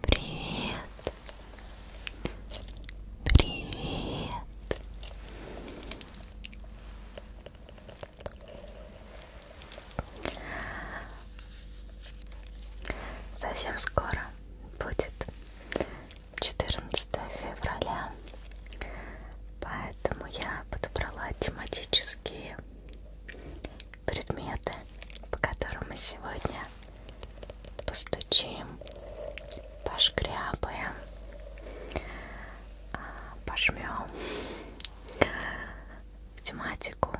Привет. Привет. Совсем скоро будет 14 февраля, поэтому я подобрала тематические предметы, по которым мы сегодня постучим, пошкрябаем, а, пожмем в тематику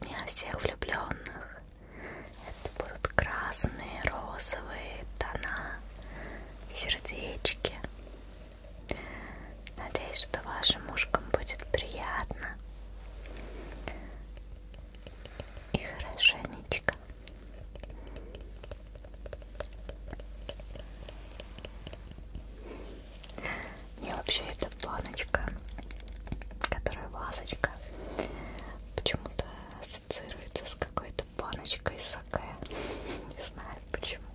дня всех влюбленных. Это будут красные, розовые тона, сердечки. Надеюсь, что вашим ушкам будет приятно и хорошенечко. Мне вообще эта баночка, которая вазочка, почему-то ассоциируется с какой-то баночкой саке. Не знаю почему. I love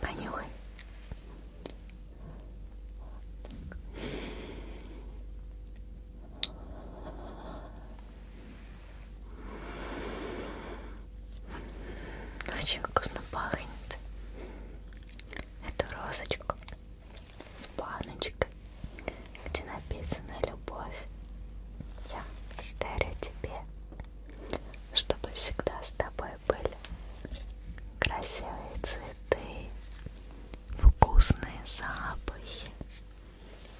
Понюхай. Очень вкусно пахнет эту розочку с баночкой где написано любовь. Я дарю тебе, чтобы всегда с тобой были красивые цветы, вкусные запахи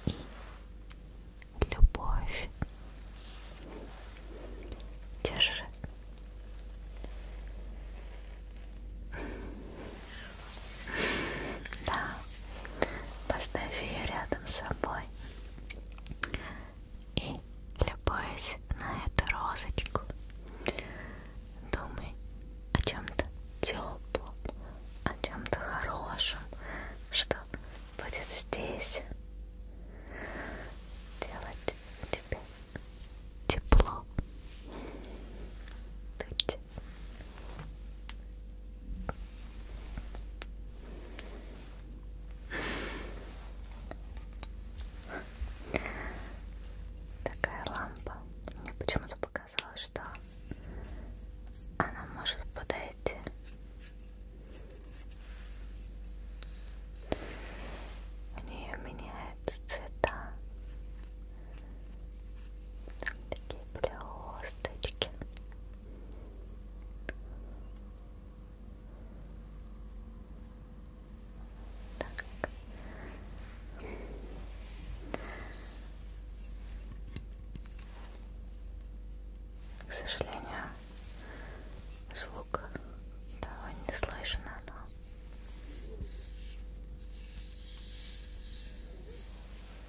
и любовь. Держи. Да. Поставь ее рядом с собой. И любуясь на эту розочку, думай о чем-то теплом, о чем-то хорошем, что будет здесь делать тебе тепло. Ты писать. Такая лампа. Мне почему-то показалось, что она может подойти. У нее меняются цвета. Там такие блесточки. Так. К сожалению, звук того не слышно, но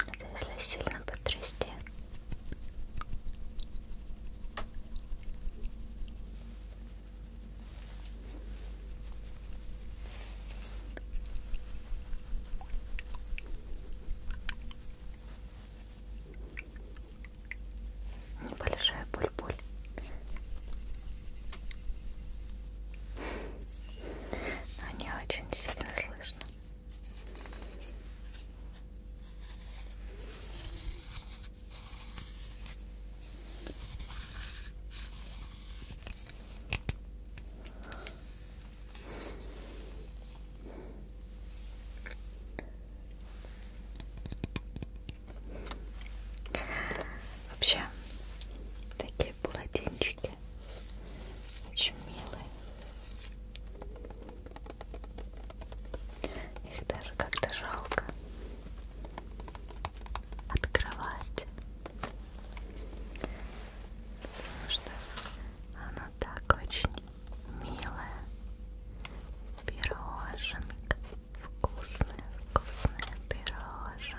Это если сильно потрясти. Небольшая боль-боль. Но не очень сильно слышно. Вообще, такие полотенчики очень милые. Их даже как-то жалко открывать потому что оно так очень милое. Пироженка, вкусное, вкусное пироженка.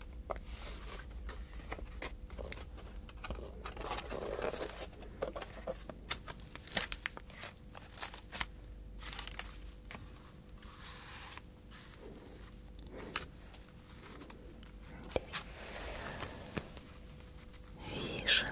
Вишенка.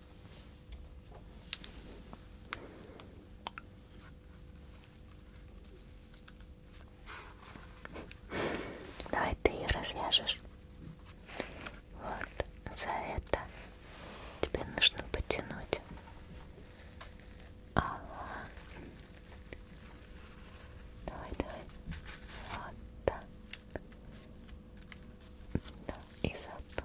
Давай ты ее развяжешь. Вот за это тебе нужно потянуть. Ага. Давай, давай. Вот так. Да, и за то.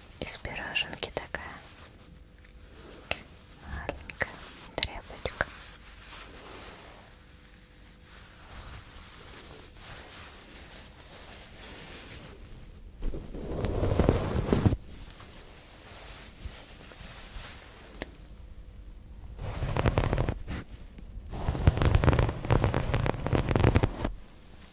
из пироженки такая маленькая тряпочка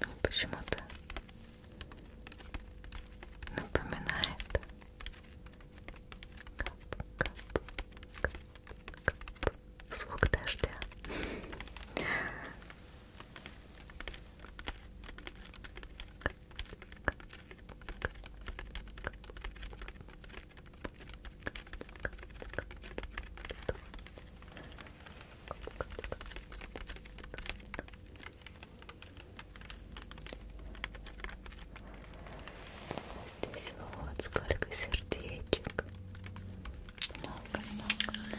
Ну, почему-то напоминает кап, кап, кап, кап, звук дождя. Здесь вот сколько сердечек. Много, много, много.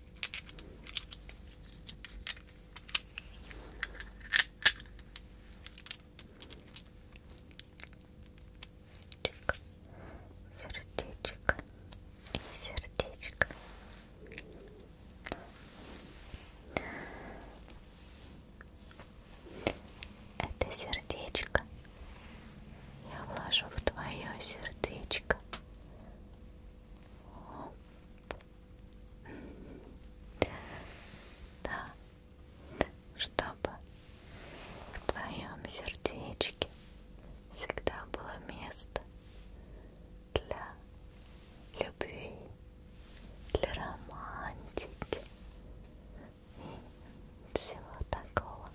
Чик. Сердечек и сердечко. Это сердечко я вложу в твое сердечко. Да, чтобы в твоем сердечке всегда было место для любви, для романтики и всего такого,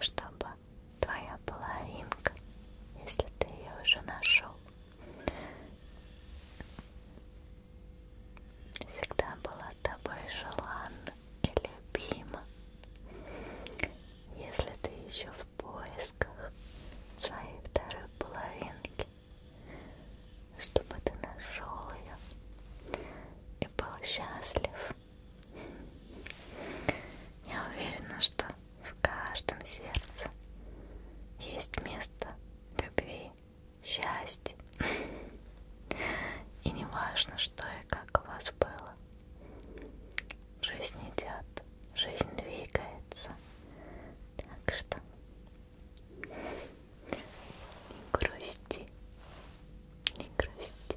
чтобы твоя половинка, если ты ее уже нашел. Всегда была тобой желанна и любима. Если ты еще в поисках своей второй половинки, чтобы ты нашел ее и был счастлив я уверена, что в каждом сердце есть место любви, счастья. И не важно, что и как у вас было. Жизнь идет, жизнь двигается. Так что не грусти, не грусти.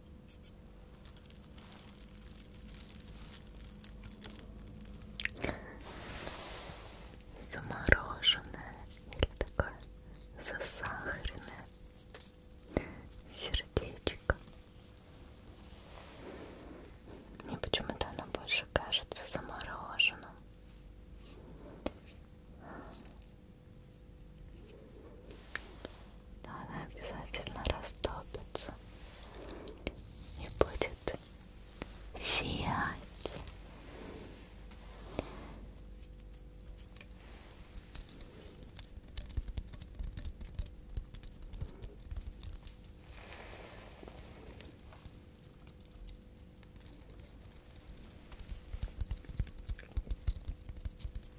замороженное или такое засахаренное сердечко. Мне почему-то оно больше кажется замороженным но она обязательно растопится и будет сиять.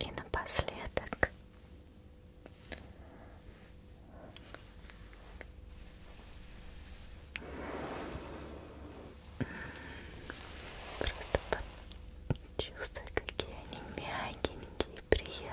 И напоследок просто чувствую, какие они мягенькие, приятные.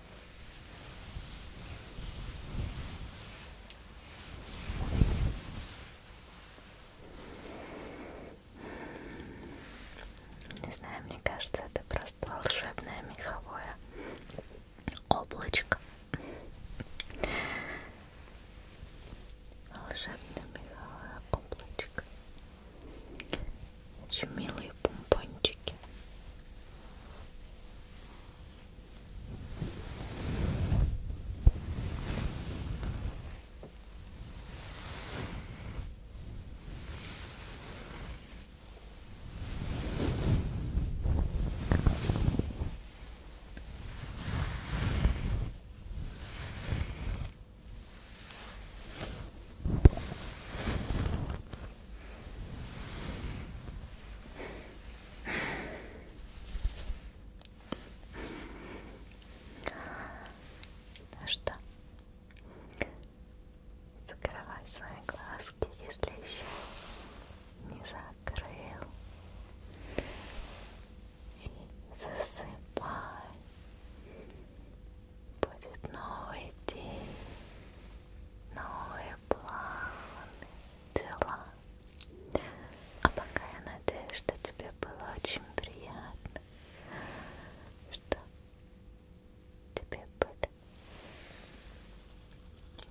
Не знаю, мне кажется, это просто волшебное меховое облачко. Волшебное меховое облачко. Очень милые помпончики. Ну что, закрывай свои глазки, если еще не закрыл. И засыпай будет новый день, новые планы, дела. А пока я надеюсь, что тебе было очень приятно, что тебе были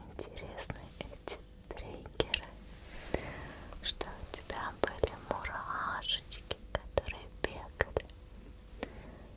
интересны эти триггеры, что у тебя были мурашечки, которые бегали